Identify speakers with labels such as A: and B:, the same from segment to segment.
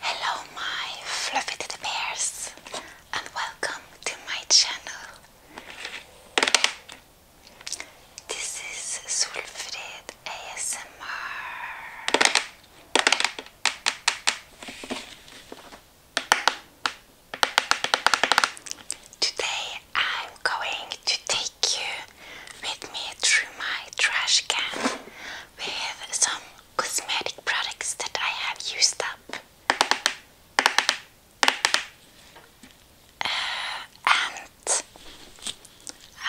A: Hello, my fluffy bears, and welcome to my channel. This is Solfrid ASMR. Today I'm going to take you with me through my trash can with some cosmetic products that I have used up. Uh, and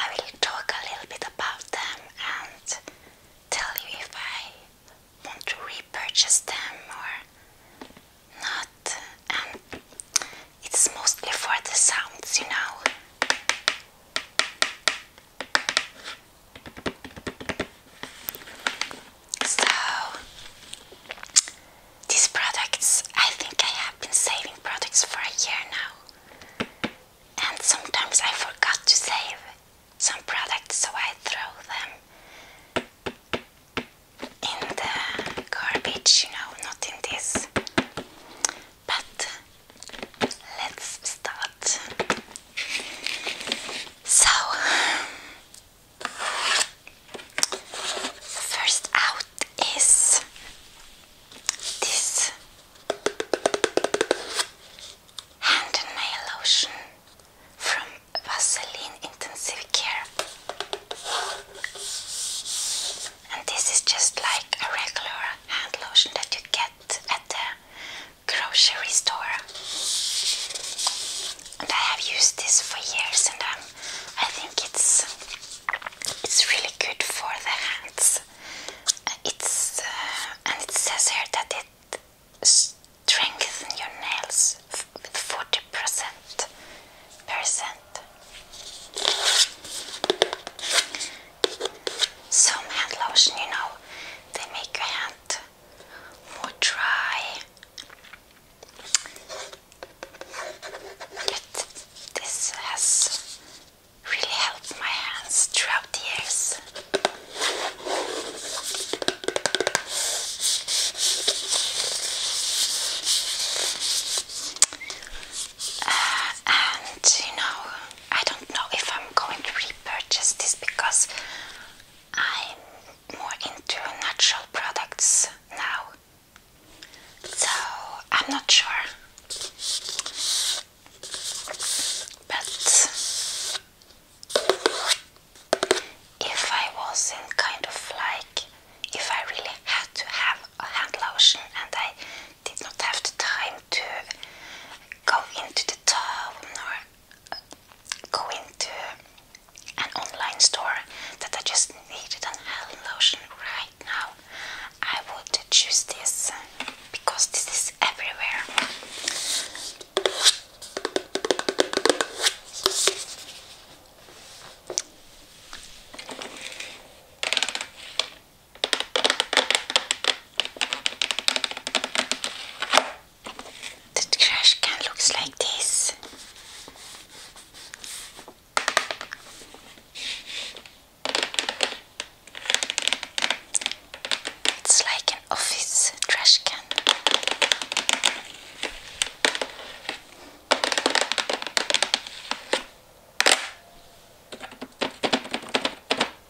A: I will talk a little bit about them and tell you if I want to repurchase them or not. And um, it's mostly for the sounds, you know. So, these products, I think I have been saving products for a year now. And sometimes I forgot to save some products, so I throw them in the garbage, you know, not in this. But let's start. So, first out is this hand and nail lotion from Vaseline Intensive Care. And this is just like a regular hand lotion that you get at the grocery store. And I have used this for years and um, I think it's it's really good for the hands. It's uh, and it says here that it strengthens your nails with 40% percent. Some hand lotion, you know, they make your hand hot, more dry. But this has really helped my hands throughout the years. Uh, and you know, I don't know if I'm going to repurchase this because I'm more into natural products now. So I'm not sure. But if I wasn't kind of like, if I really had to have a hand lotion and I did not have the time to go into the tub, or uh, go into an online store that I just needed an hand lotion right now, I would choose this because this is everywhere. The trash can looks like this. It's like an office trash can.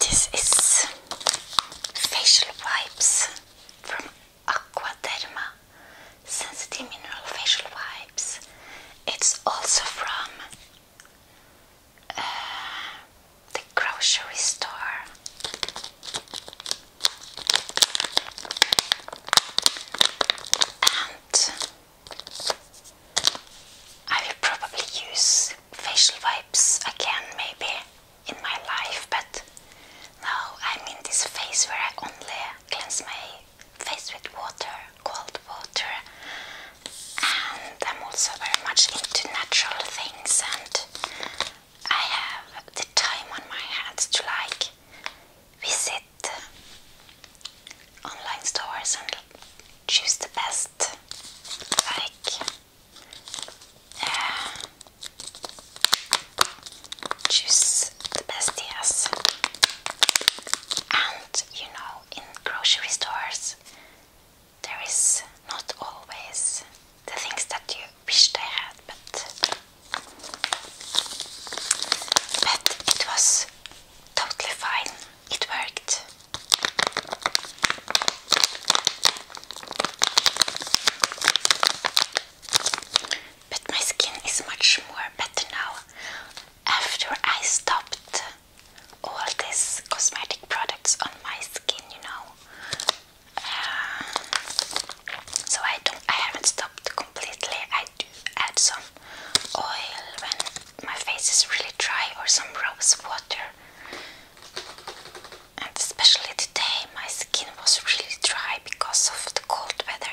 A: This is facial wipes from Aquaderma Sensitive Mineral Facial Wipes. It's also from uh, the grocery store. And I will probably use facial wipes again maybe in my life, but now I'm in this phase where I only cleanse my face with water, cold water, and I'm also very much into natural things, and I have the time on my hands to like visit online stores and choose the best, like uh, choose the best yes. And you know, in grocery stores, there is not always the things that you wish they had, but but it was totally fine it worked. But my skin is much more better now after I stopped all these cosmetic products on my skin, you know. Um, so I don't I haven't stopped completely. I do add some oil my face is really dry or some rose water. And especially today, my skin was really dry because of the cold weather.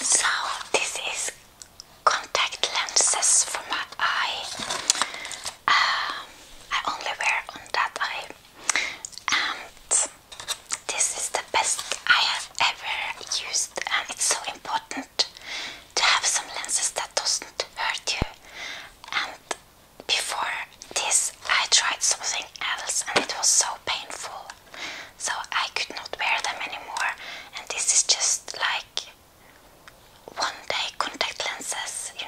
A: So this is contact lenses for my eye. Um, I only wear on that eye. And this is the best I have ever used and it's so important to have some lenses that doesn't hurt you. And before this I tried something else and it was so painful. So I could not wear them anymore and this is just like one day contact lenses, you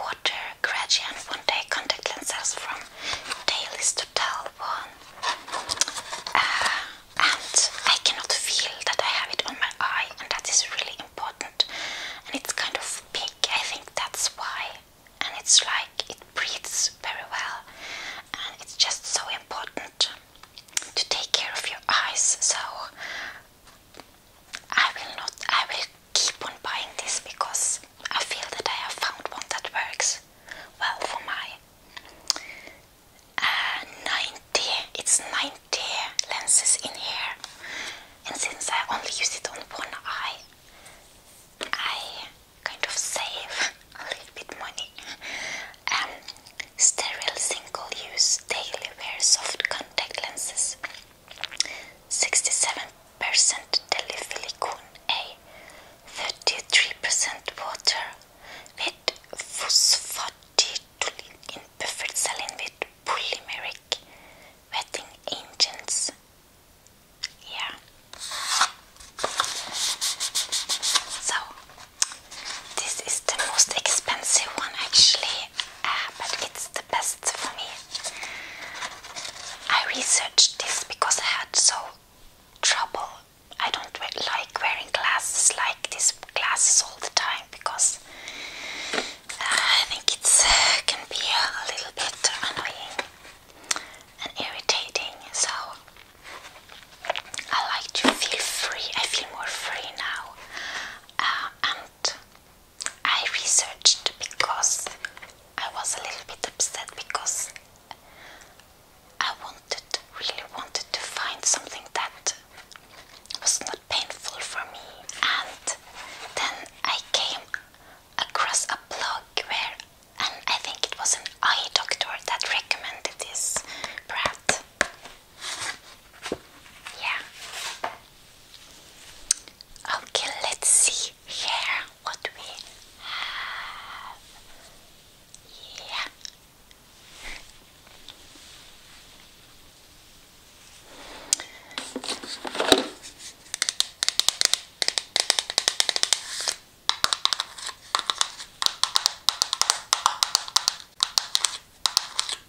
A: water gradient, one day contact lenses from dailies to tell one. Uh, and I cannot feel that I have it on my eye, and that is really important. And it's kind of big, I think that's why. And it's like it breathes very well, and it's just so important to take care of your eyes. So I will not. I will keep on buying this because I feel that I have found one that works well for my uh, 90. It's 90 lenses in here, and since I only use it on one eye, I kind of save a little bit money um, sterile single-use daily wear soft contact lenses 67% polysilicon A 33% water with phosphatidylene in buffered saline with polymeric wetting agents yeah so this is the most expensive one actually, ah, but it's the best for me. I researched this because I had so trouble. I don't like wearing glasses like these glasses all the time because ah, I think it uh, can be a little bit annoying and irritating. So I like to feel free. I feel more free now. Uh, and I researched because I was a little bit upset because I wanted, really wanted to find something that was not painful for me. And then I came across a blog where, and I think it was an eye doctor that recommended this brand. Yeah. Okay, let's see here what we have. Yeah.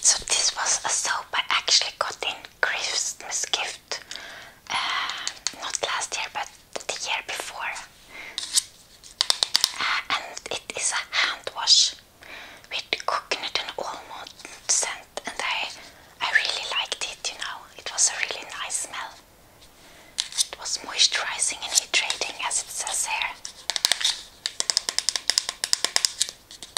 A: So this was a soap I actually got in Christmas gift uh, not last year but the year before uh, and it is a hand wash with coconut and almond scent and I, I really liked it you know it was a really nice smell it was moisturizing and hydrating as it says here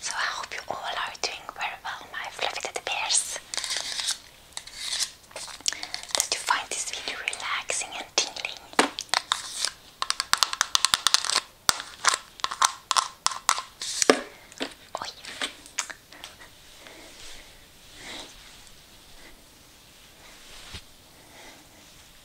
A: So I hope you all are doing very well, my fluffy teddy bears. you find this video relaxing and tingling. Oh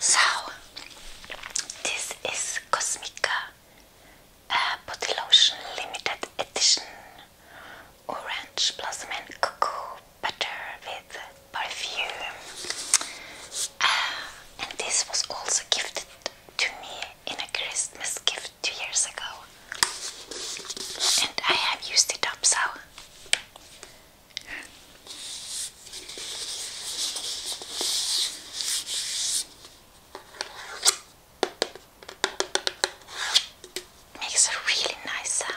A: So, this is Cosmica uh, Body Lotion Limited Edition orange blossom and cocoa butter with perfume. Ah, and this was also gifted to me in a Christmas gift two years ago. And I have used it up so. Makes a really nice sound.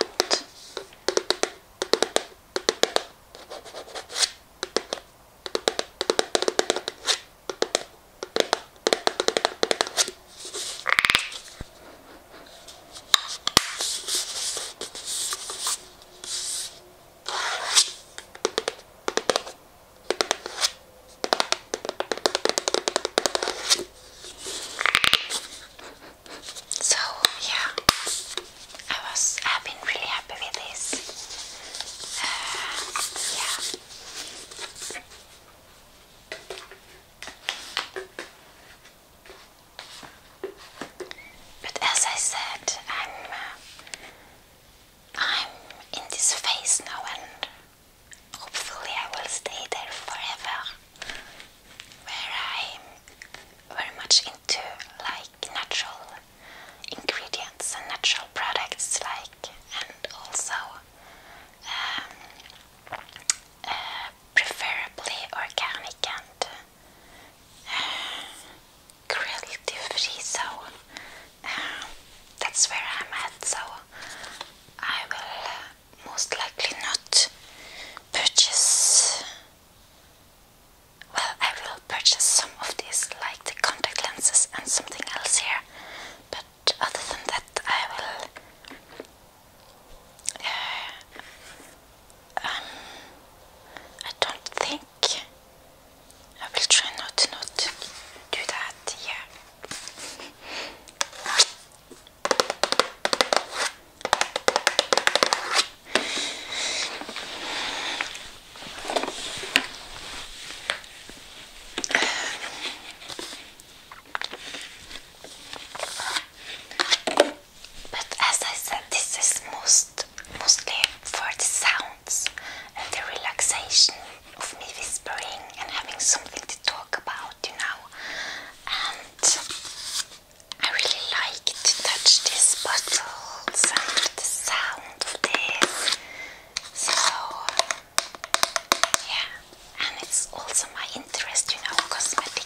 A: So yeah, I was I've been really happy with this. Uh, yeah. But as I said, I'm uh, I'm in this phase now and Hopefully, I will stay there forever, where I'm very much into like natural ingredients and natural products, like and also um, uh, preferably organic and uh, cruelty free. So uh, that's where I'm at. So I will most likely not purchase. Well, I will purchase some of these, like the contact lenses and something else here, but other than that, I will. Uh, um, I don't think I will try not to not do that. Yeah. But as I said, this is most mostly for the sounds and the relaxation of me whispering and having something to talk about, you know. I really like to touch these bottles and the sound of this. So, yeah, and it's also my interest, you know, cosmetic.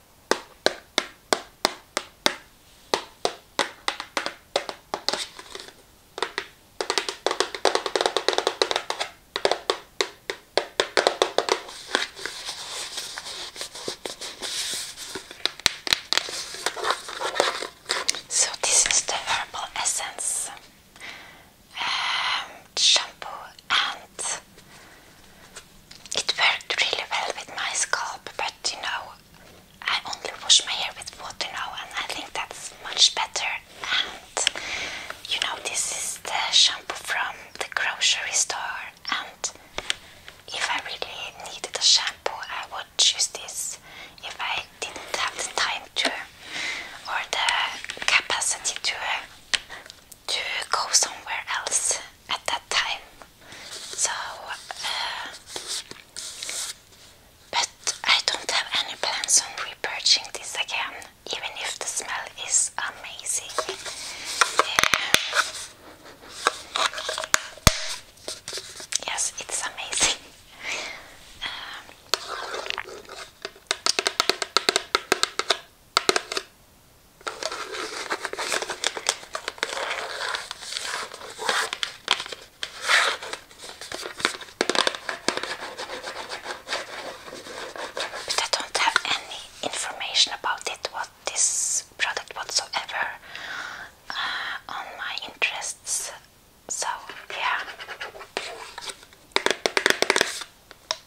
A: So, this is the verbal essence um, shampoo and it worked really well with my scalp, but you know, I only wash my hair with water now, and I think that's much better. And you know, this is the shampoo from the grocery store, and if I really needed a shampoo, I would choose this. If I didn't have the time to, or the capacity to to go somewhere else at that time. So, uh, but I don't have any plans on repurchasing this again, even if the smell is amazing. Yes, it's amazing. Um, but I don't have any information about it, what this product whatsoever, uh, on my interests. So, yeah.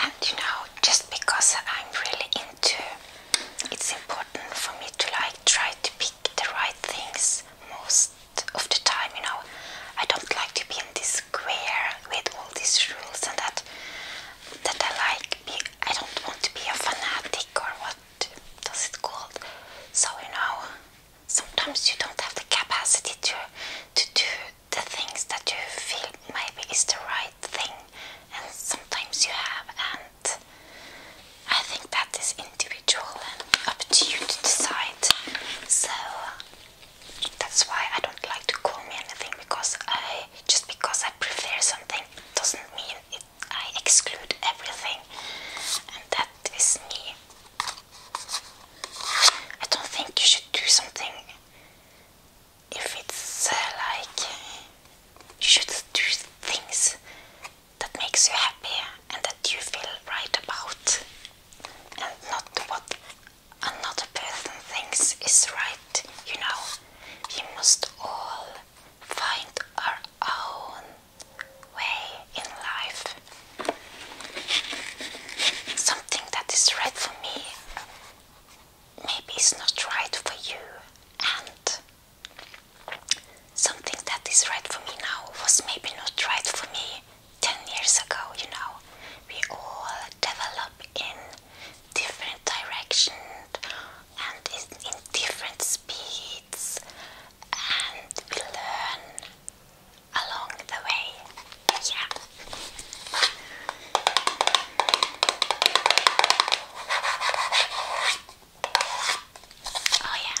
A: And you know, just because I'm really into it's important for me to like try to pick the right things most of the time, you know. I don't like to be in this square with all these rules and that that I like I don't want to be a fanatic or what does it called? So you know sometimes you don't have the capacity to to do the things that you feel maybe is the right thing and sometimes you have and I think that is individual and up to you to decide so that's why I don't like to call me anything because I just because I prefer something doesn't mean I exclude everything and that Disney. I don't think you should do something if it's uh, like you should do things that makes you happy and that you feel right about and not what another person thinks is right, you know. We must all find our own way in life. Something that is right for me maybe is not right for you, and something that is right for me now was maybe not right for me 10 years ago, you know. We all develop in different directions and in, in different speeds and we learn along the way. Yeah. Oh, yeah.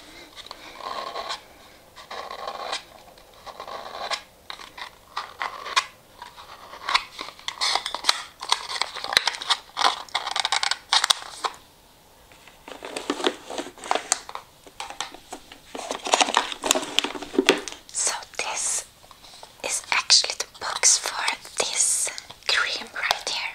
A: So, this is actually the box for this cream right here.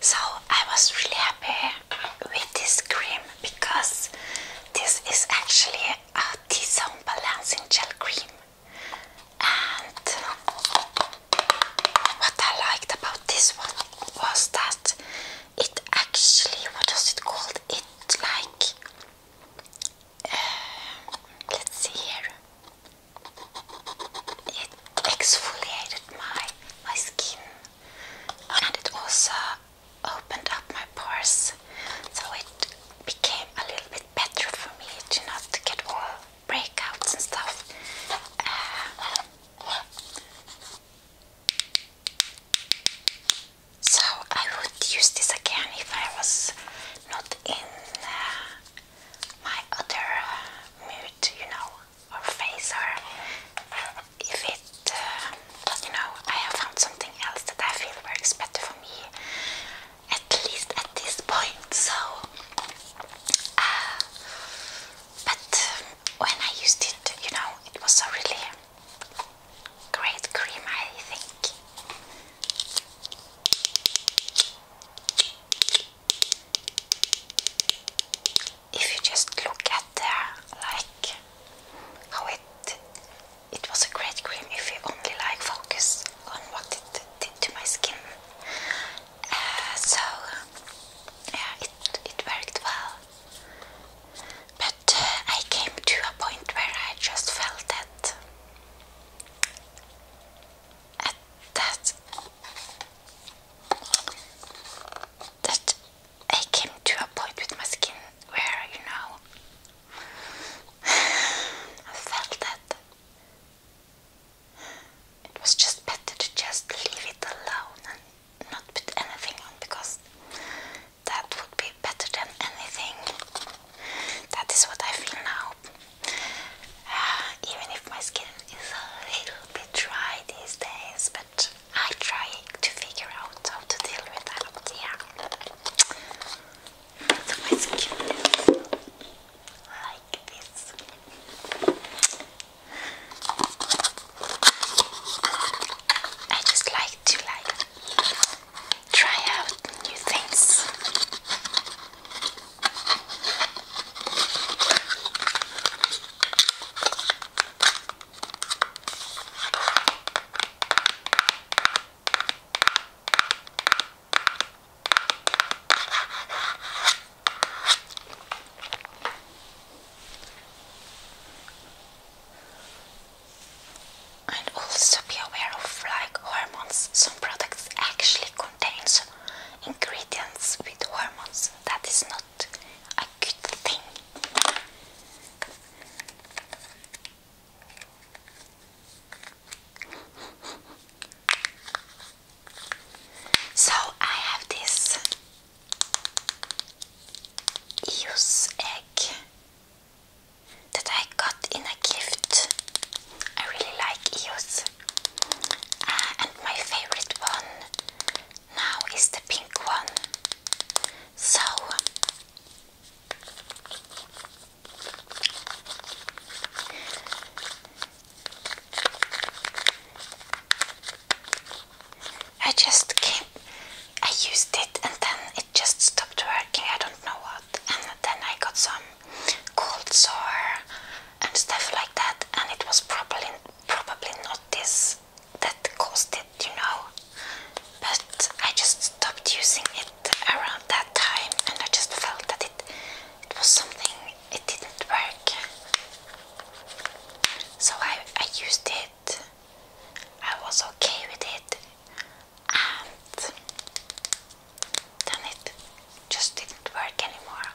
A: So I was really happy with this cream because this is actually a T-zone balancing gel cream. And what I liked about this one was that it actually, what was it called? It like, um, let's see here. It exfoliated my my skin and it also opened up my pores so it became a little bit better for me to not get all breakouts and stuff so I would use this again if I was not in uh, my other mood, you know or face, or if it, uh, you know, I have found something else that I feel works better for me, at least at this point. So, uh, but um, when I used it, you know, it was a really great cream, I think if you just look at the like how it it was a great cream if you only like focus on what it did to my skin. Uh, so yeah, it it worked well. But uh, I came to a point where I just felt that that that I came to a point with my skin where, you know, I felt that it was just better to just leave it alone and not put anything on because that would be better than anything. That is what I feel now. Uh, even if my skin is a little bit dry these days, but I trying to figure out how to deal with that. Yeah. So my skin is like this. I just like to like try out new things. And also be aware of like hormones. Some products actually contain ingredients with hormones that is not a good thing. So I have this eels egg that I got in a gift. I really like eels, uh, and my favorite one now is the pink one. So I just came, I used it and then it just stopped working, I don't know what. And then I got some cold sore and stuff like that and it was probably, probably not this that caused it, you know. But I just stopped using it around that time, and I just felt that it it was something it didn't work. So I I used it. I was okay with it, and then it just didn't work anymore.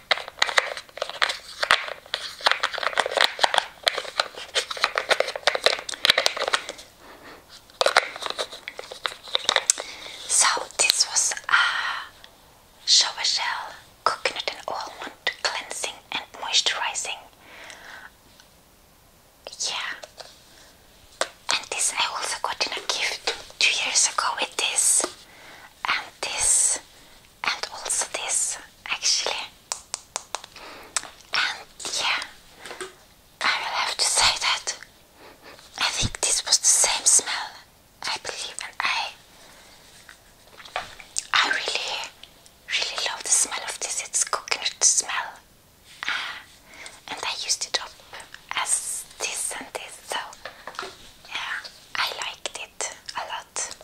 A: So this was a shower gel, coconut and almond cleansing and moisturizing. Yeah, and this I also got in a gift two years ago with this and this, and also this actually. And yeah, I will have to say that I think this was the same smell, I believe, and I I really, really love the smell of this. It's coconut smell. Ah, and I used it up as this and this, so yeah, I liked it a lot.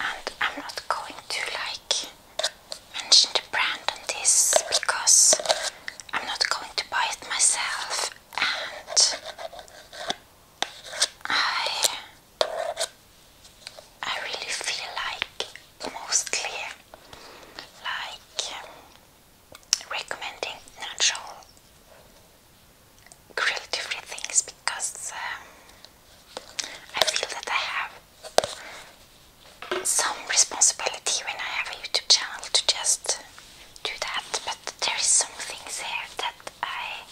A: And I'm not going to like mention the brand on this because I'm not going to buy it myself and I I really feel like mostly like um, recommending natural cruelty things because um, I feel that I have some responsibility when I have a YouTube channel to just do that, but there is some things there that I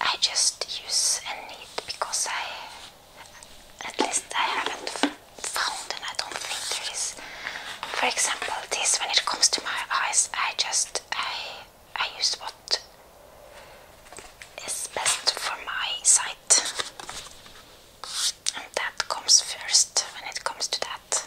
A: I just use and need because I at least I haven't found and I don't think there is for example, this when it comes to my eyes, I just I I use what is best for my sight, and that comes first when it comes to that.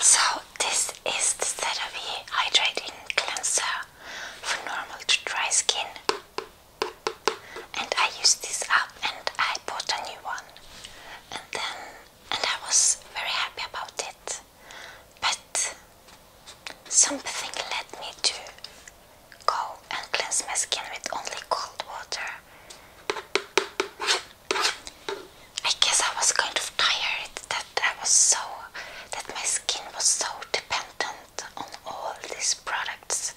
A: So this is the CeraVe Hydrating Cleanser for normal to dry skin. And I used this up and I bought a new one. And then, and I was very happy about it. But something led me to go and cleanse my skin with only cold water. I guess I was kind of tired that I was so that my skin was so dependent on all these products.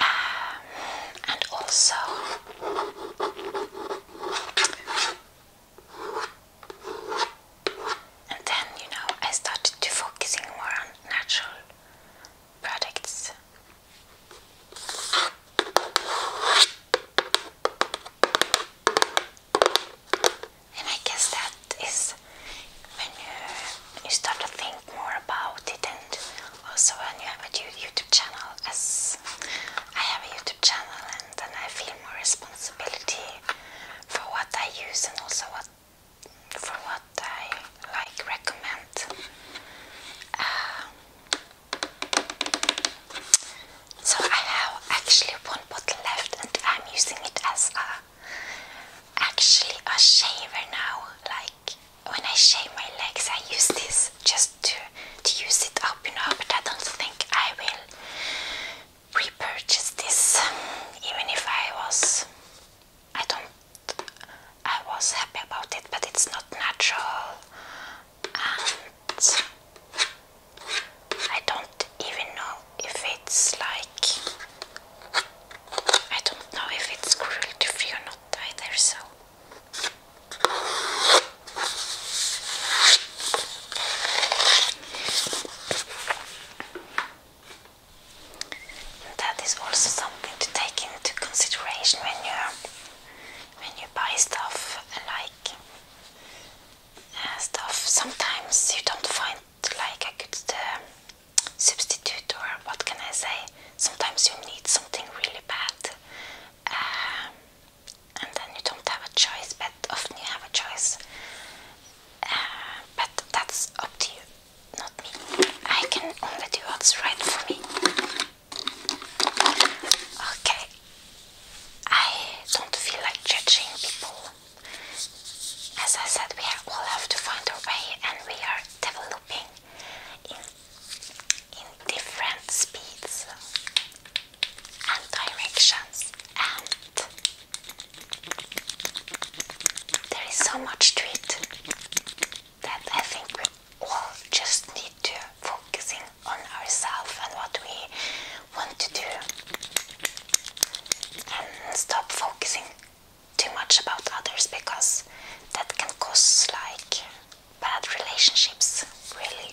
A: Um, and also and then you know I started to focusing more on natural products and I guess that is when you, start to think more about it, and also when you have a YouTube channel, as I have a YouTube channel, and then I feel more responsibility for what I use and also what for what I like recommend. Uh, so I have actually one bottle left and I'm using it as a actually a shaver now. Like when I shave my legs I use this just to to use it up, you know, but I don't think I will repurchase this even if I was I don't I was happy about it but it's not natural I don't even know if it's like I don't know if it's cruelty free or not either so that is also something to take into consideration when you when you buy stuff like. Uh, stuff. Sometimes you don't find like a good uh, substitute, or what can I say? Sometimes you need something really bad, uh, and then you don't have a choice. But often you have a choice. but that's up to you, not me. I can only do what's right for me. Okay, I don't feel like judging people. As I said, we all have to find our way, and we are developing in in different speeds and directions, and there is so much to it that I think all just need to focusing on ourselves and what we want to do and stop focusing too much about others because that can cause like bad relationships really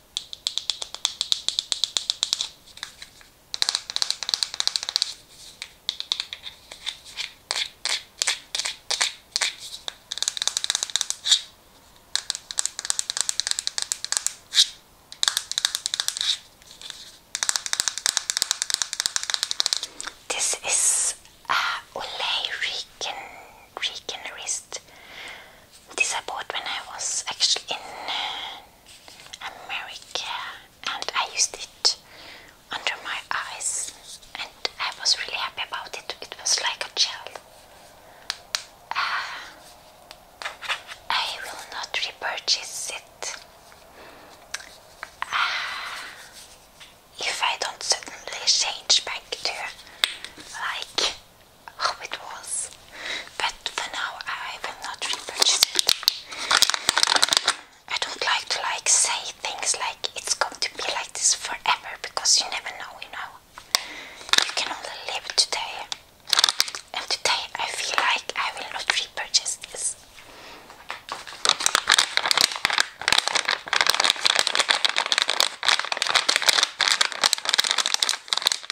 A: This is a Olay Rican, Rican wrist this I bought when I was actually in uh, America and I used it under my eyes and I was really happy about it. It was like a gel. Uh, I will not repurchase it. Uh, if I don't suddenly change back to like how oh, it was, but for now I will not repurchase it. I don't like to like say things like it's going to be like this forever because you never know, you know. You can only live today, and today I feel like I will not repurchase this.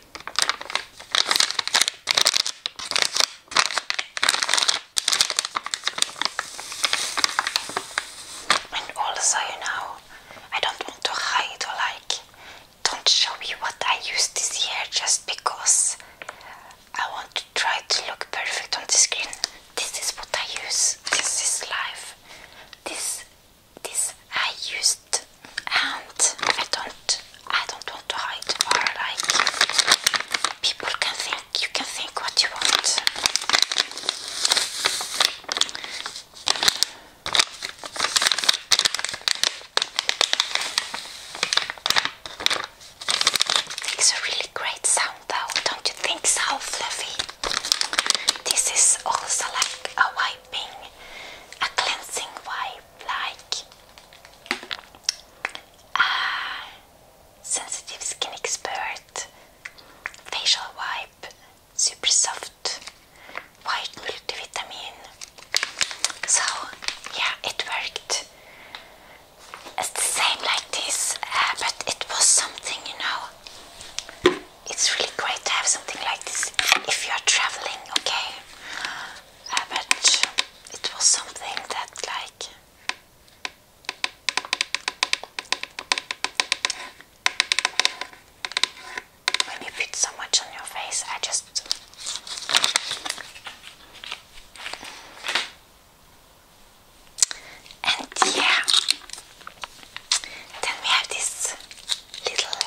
A: And also, you know, I don't want to hide or like don't show you what I use this year just because I want to try to look perfect on the screen. This is what I use. This is life. This this I use and I don't I don't want to hide or like people can think you can think what you want. Makes a really great sound though, don't you think so, Fluffy? This is also like a wiping, a cleansing wipe like sensitive skin expert facial wipe, super soft, white multivitamin. So yeah, it worked. It's the same like this, uh, but it was something, you know. It's really great to have something like this if you are traveling, okay? Uh, it was something that, like, when you put so much on your face, I just. And yeah, then we have this little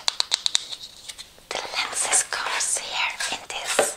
A: the lenses comes here in this.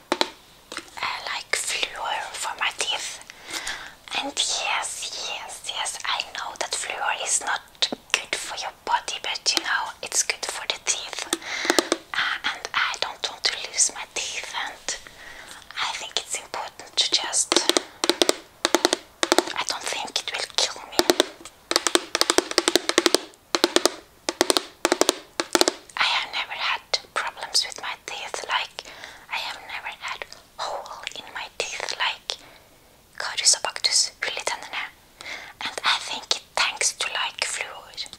A: I uh, like fluor for my teeth. And yes, yes, yes, I know that fluor is not good for your body, but you know, it's good for the teeth. Uh, and I don't want to lose my teeth, and I think it's important to just. I don't think it will kill me. I have never had problems with my teeth, like I have never had hole in my teeth, like Cordysobactus rulitanina, and I think it thanks to like fluid.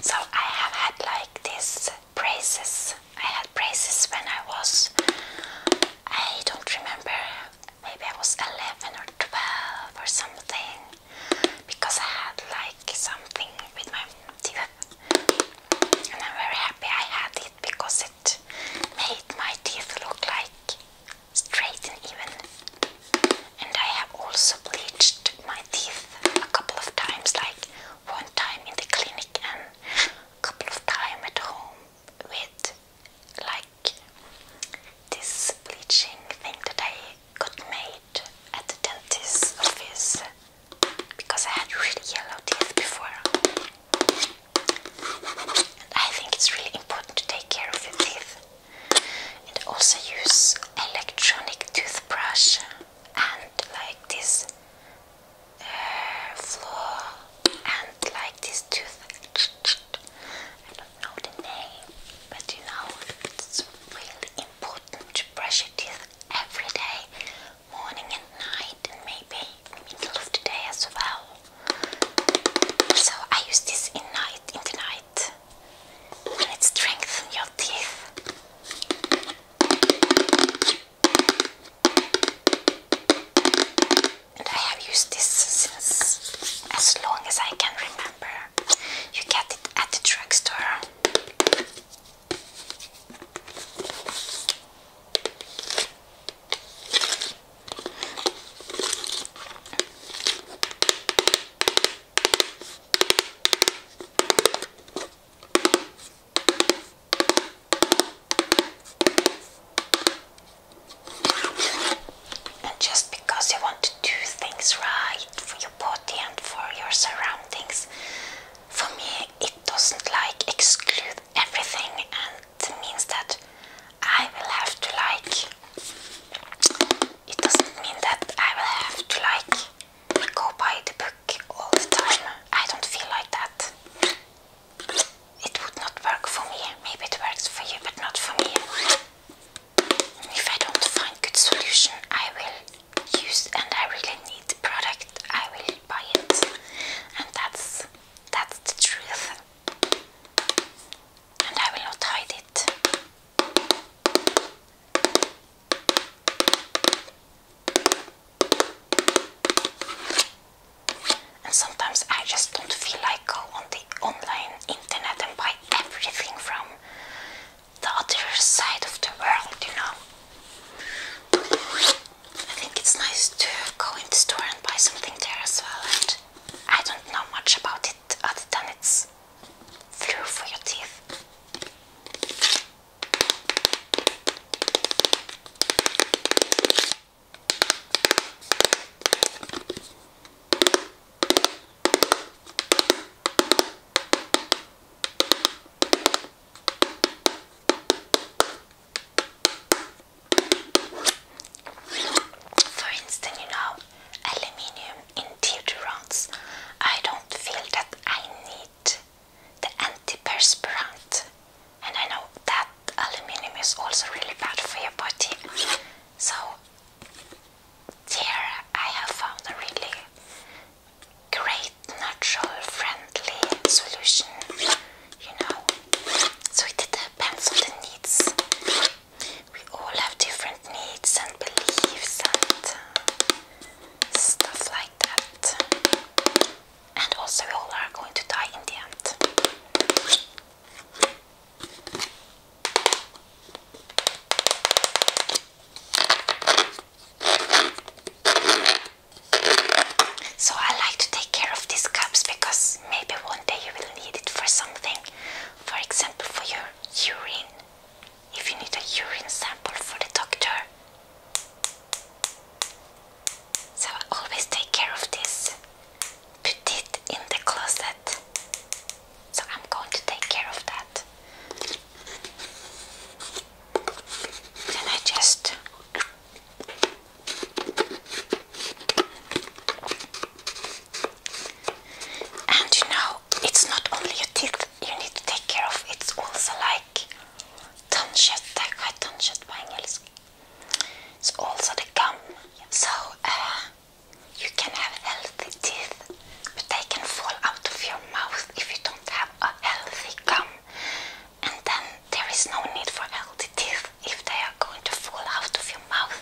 A: So I have had like this braces. I had braces when I was, I don't remember, maybe I was 11 or 12 or something because I had like something with my teeth and I'm very happy I had it because it made my teeth look like straight and even and I have also bleached my teeth a couple of times like one time in the clinic and couple of times at home with like this bleaching thing that I got made at the dentist's office because I had really yellow teeth before. And I think it's really important to take care of your teeth. And also use electronic toothbrush and like this floor and like this tooth. I don't know the name, but you know it's really important to brush your teeth every day, morning and night, and maybe middle of the day as well. So I use this in night in the night, and it strengthens your teeth. And I have used this since as long as I can remember. You get it at the drugstore. And just because you want to do things right for your body and for your surroundings, for me it doesn't like exclude everything and means that I will have to like. It doesn't mean that I will have to like go buy the book all the time. I don't feel like that. It would not work for me. Maybe it works for you, but not for me. If I don't find good solution, I will use and I really need the product. I will buy it, and that's that's the truth. And I will not hide it. And sometimes I just don't feel like go on the online internet and buy everything from the other side of the world, you know. I think it's nice to go in the store and buy something there as well. And I don't know much about it other than it's flu for your teeth. For instance, you know, aluminium in theatre rounds. I don't feel that I need the antiperspirant. And I know that aluminium is also really bad for your body. So here I have found a really great natural friendly solution, you know. So it depends on the needs. We all have different needs and beliefs and uh, stuff like that and also we all are going to die in the end. So I like to take care of these cups because maybe one day you will need it for something. For example, for your urine. If you need a urine sample for the doctor, so always take care of this. Put it in the closet. So I'm going to take care of that. Then I just and you know, it's not only your teeth you need to take care of, it's also like tunköttet, skärt på engelska. It's also the gum. So uh, you can have healthy teeth, but they can fall out of your mouth if you don't have a healthy gum. And then there is no need for healthy teeth if they are going to fall out of your mouth.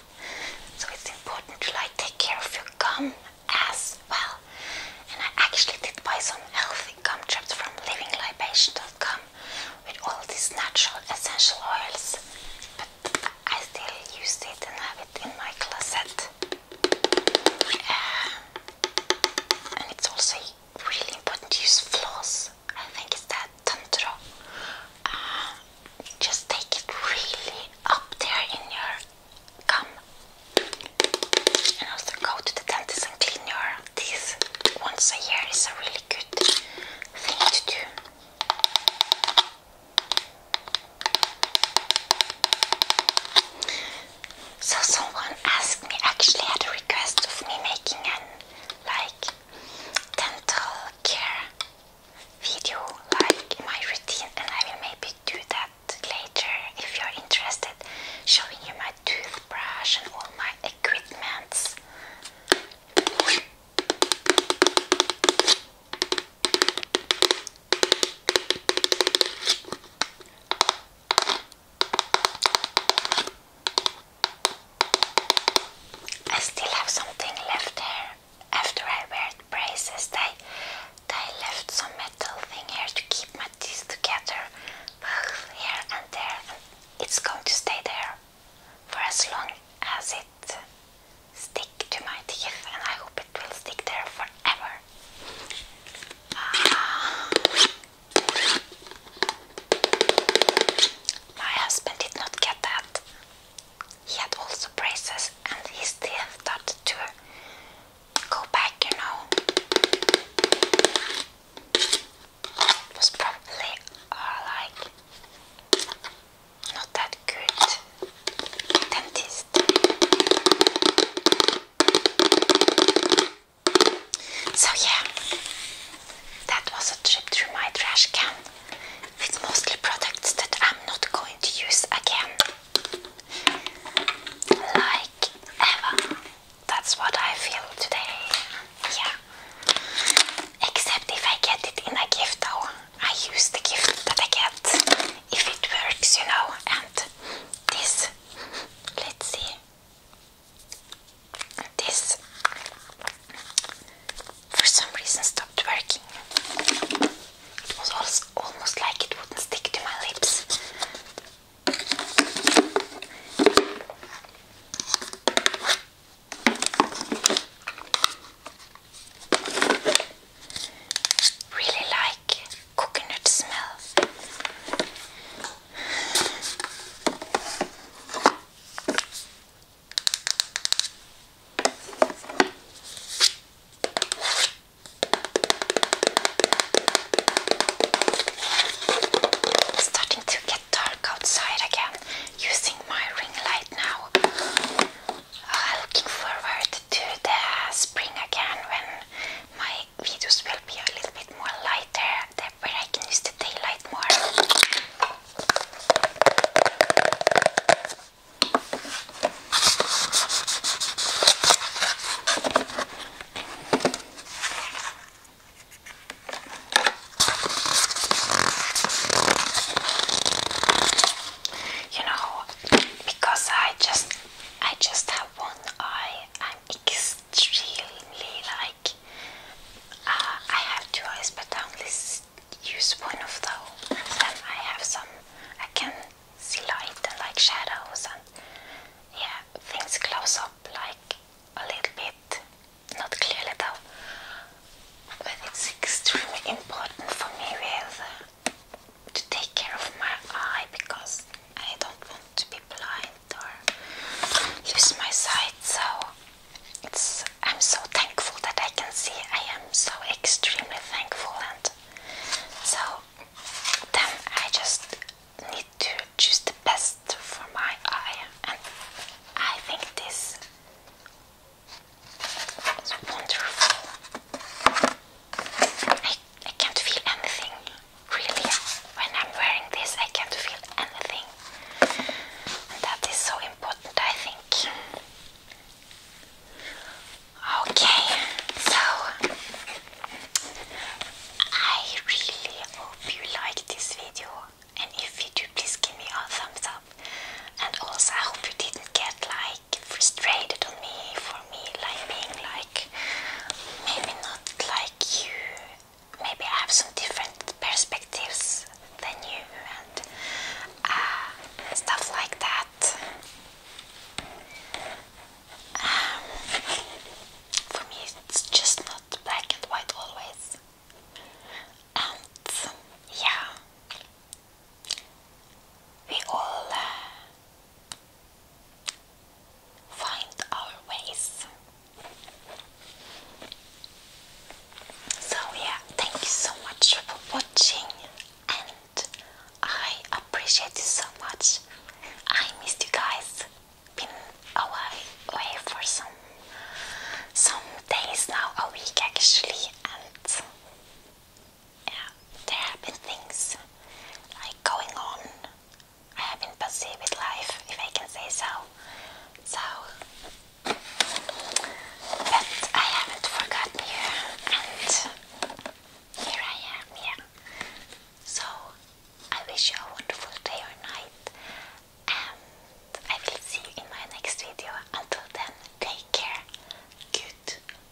A: So it's important to like take care of your gum as well. And I actually did buy some healthy gum traps from livinglibation.com with all these natural essential oils, but I still use it and have it in my closet. Uh, and it's also really important to use floss. I think it's that tantra. Uh, just take it really up there in your gum and also go to the dentist and clean your teeth once a year is a really good thing to do. So someone asked me, actually had a request of me making an like dental care video, like my routine, and I will maybe do that later if you're interested, showing you my toothbrush and all my equipments. I still have something left here. After I wear braces, they, they left some metal thing here to keep my this together, both here and there, and it's going to stay there for as long as it stick to my teeth, and I hope it will stick there forever. Ah. my husband did not get that. He had also braces, and his teeth started to go back, you know. was probably uh, like not that good dentist. So yeah, that was a trip through my trash can with mostly products that I'm not going to use again. Like Eva that's what I feel today. Yeah. Except if I get it in a gift though. I use the gift that I get if it works, you know. And this, let's see. This for some reason stopped working. It was also almost like it wouldn't stick to my lips. Really like coconut smell. It's starting to get dark outside again. Using my ring light now. Uh, looking forward to the spring again when my videos will be a little bit more lighter, where I can use the daylight more. You know, because I just I just have one eye, I'm extremely like uh, I have two eyes, but I only use one of them. Then I have some I can see light and like shadows and yeah, things close up like a little bit, not clearly though, but it's extremely important for me with uh, to take care of my eye because I don't want to be blind or lose my sight. So I'm so thankful that I can see. I am so extremely thankful and so then I just need to choose the best for my eye, and I think this is wonderful. I, I can't feel anything really when I'm wearing this. I can't feel anything, that is so important, I think. Okay, so I really hope you liked this video and if you do please give me a thumbs up and also I hope you didn't get like frustrated on me for me like being like maybe not like you maybe I have some different perspectives than you and uh, stuff like that um, for me, it's just not black and white always. And yeah, we all uh, find our ways. So, yeah, thank you so much for watching, and I appreciate you so much. I missed you guys been away, away for some some days now, a week actually, and yeah, there have been things like going on. I have been busy with life, if I can say so. So, but I haven't forgotten you, and here I am. Yeah, so I wish you a wonderful day or night, and I will see you in my next video. Until then, take care. Goodbye.